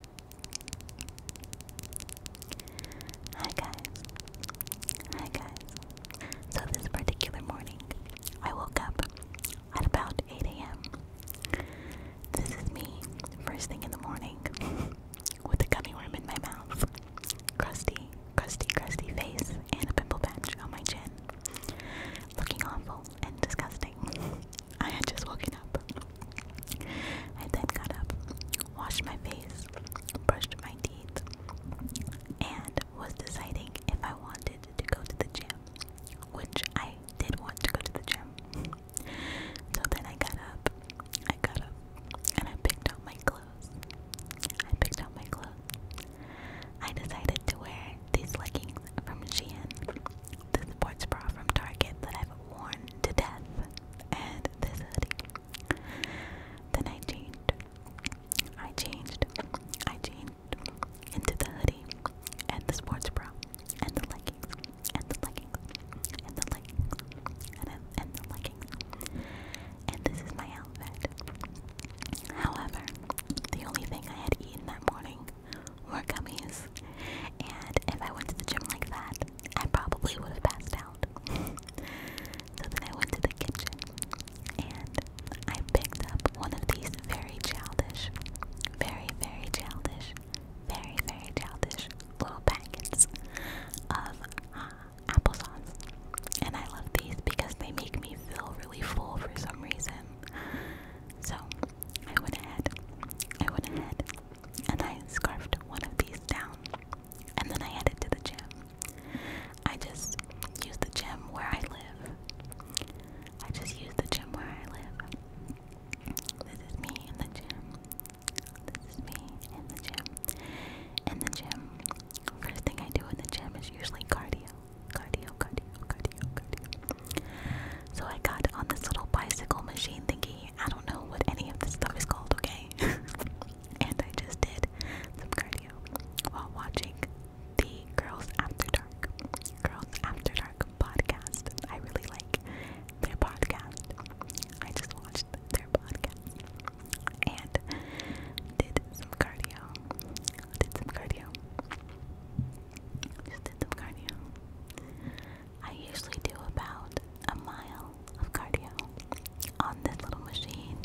Hi guys. Hi guys. So this particular morning, I woke up at about 8 a.m. This is me, first thing in the morning, with a gummy worm in my mouth, crusty, crusty, crusty face, and a pimple patch on my chin, looking awful and disgusting. I had just woken up. I then got up, washed my face, brushed my teeth, and was deciding if I wanted to go to the gym, which I did want to go to the gym. So then I got up, I got up, and I picked out my clothes. I picked out my clothes. I decided to wear these leggings from Shein the sports bra from Target that I've worn to death, and this hoodie. Then I I changed. I changed into the hoodie and the sports bra and the leggings and the leggings and the leggings and the leggings. And this is my outfit. However, the only thing I had eaten that morning or gummies. And if I went to the gym like that, I probably would have passed out. so then I went to the kitchen and I picked up one of these very childish, very, very childish, very, very childish little packets of uh, applesauce. And I love these because they make me feel really full for some reason. So I went ahead, I went ahead, and I scarfed one of these down, and then I headed to the gym. I just use the gym where I live. I just use the gym where I live. This is me in the gym. This is me in the gym. In the gym. First thing I do in the gym is usually cardio. Cardio, cardio, cardio, cardio. So I got on this little bicycle machine thingy. I don't know what any of this stuff is called, okay? and I just did some cardio while watching the Girls After Dark, Girls After Dark podcast. I really like their podcast. I just watched their podcast and did some cardio. Did some cardio. Just did some cardio. I usually do about a mile of cardio on this little machine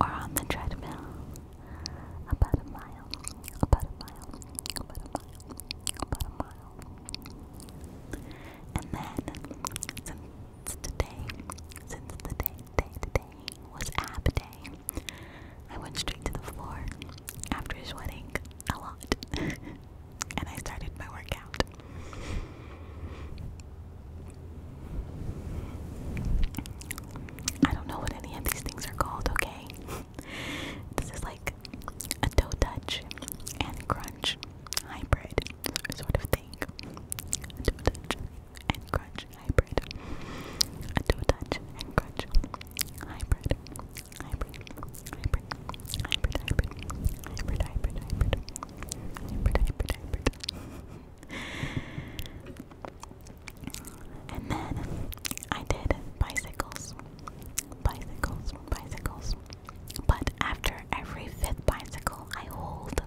or on the treadmill. About a mile, about a mile, about a mile, about a mile. And then, since today, since the day, day today was ab day, I went straight to the floor after sweating a lot. and I started my workout. I don't know what any of these things are called, okay? this is like a toe touch and crunch hybrid sort of thing. A touch and crunch hybrid. A touch and crunch hybrid hybrid, hybrid, hybrid, hybrid, hybrid, hybrid, hybrid, hybrid, hybrid, hybrid. and then I did bicycles, bicycles, bicycles. But after every fifth bicycle, I hold.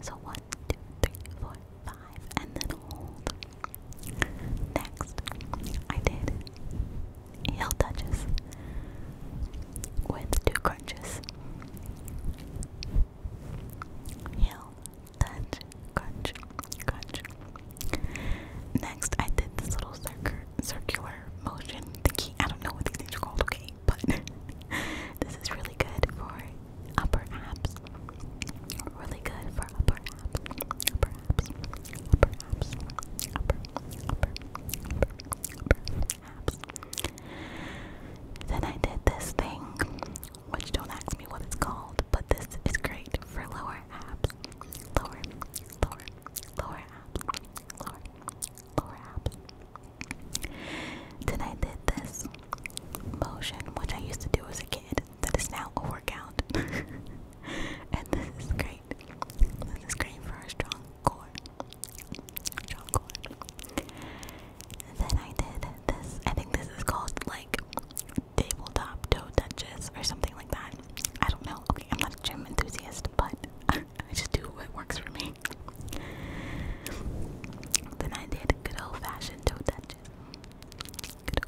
So one, two, three, four, five, and then hold. Next, I did heel touches with two crunches. Heel touch, crunch, crunch. Next, I did this little circular circular motion thingy. I don't know what these things are called, okay, but this is really good for upper abs. Really good for upper perhaps, perhaps, perhaps. Then I did this thing, which don't ask me what it's called, but this is great for lower abs. Lower, lower, lower abs, lower, lower abs. Then I did this motion, which I used to do as a kid, that is now a workout. and this is great. This is great for a strong core. Strong core. Then I did this. I think this is called like tabletop toe touches or something like that. I don't know. Okay, I'm not a gym enthusiast, but I just do what works for me. Then I did good old fashioned toe touches. Good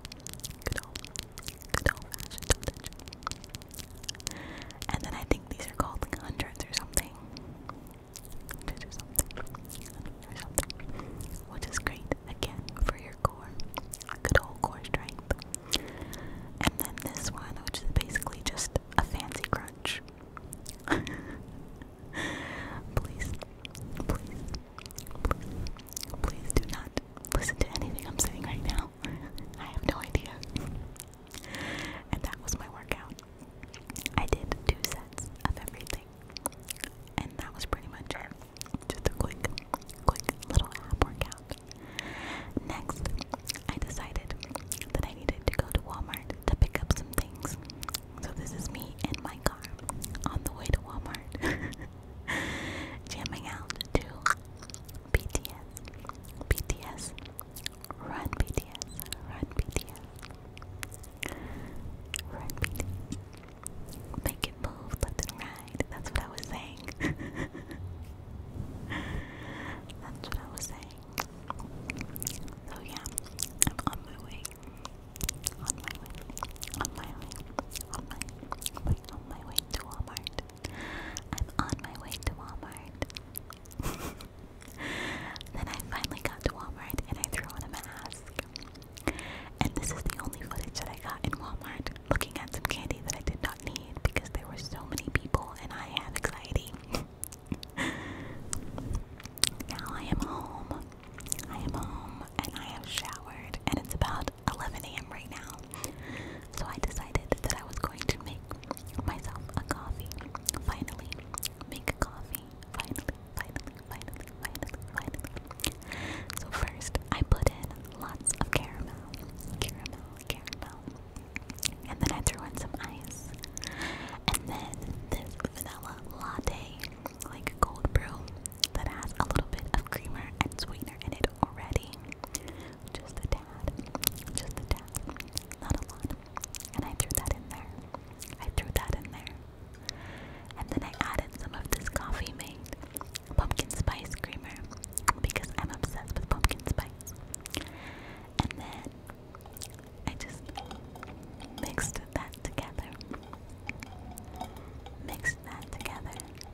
and then I think these are called hundreds or something. Which is great again for your core. Good old core strength. And then this one, which is basically just a fancy crunch. please, please, please do not listen to anything I'm saying right now. I have no idea. and that was my workout. I did two sets of everything. And that was pretty much it. Just a quick, quick little ab workout. Next, I decided that I needed to go to Walmart to pick up some things. So this is me in my car on the way to Walmart. Jamming out to BTS, BTS, run BTS, run BTS, run BTS. Make it move left and right. That's what I was saying. That's what I was saying. So yeah, I'm on my way. On my way. On my way. On my way. On my way to Walmart. I'm on my way to Walmart. then I finally got to Walmart and I threw on a mask. And this is the only footage that I got in Walmart looking at some candy that I did not need because there were so many people and I had anxiety. now I am home. I am home and I have showered and it's about 11 a.m. right now. So I decided that I was going to make myself a coffee. Finally, make a coffee. Finally, finally, finally, finally, So first, I put in lots of caramel, caramel, caramel, and then I threw in some ice, and then this vanilla latte, like cold brew, that has a little bit of creamer and sweetener in it already. Just a tad. Just a tad. Not a lot. And I threw that in there. I threw that in there. And then I added some of this coffee made pumpkin spice creamer because I'm obsessed with pumpkin spice. And then I just mixed that together. Mixed that together.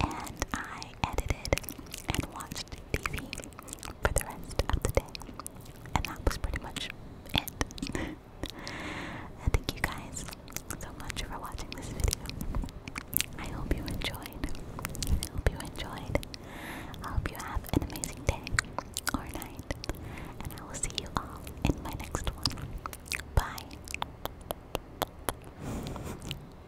and I edited and watched TV for the rest of the day. And that was pretty much it. thank you guys so much for watching this video. I hope you enjoyed. I hope you enjoyed. I hope you have an amazing day or night. And I will see you all in my next one. Bye.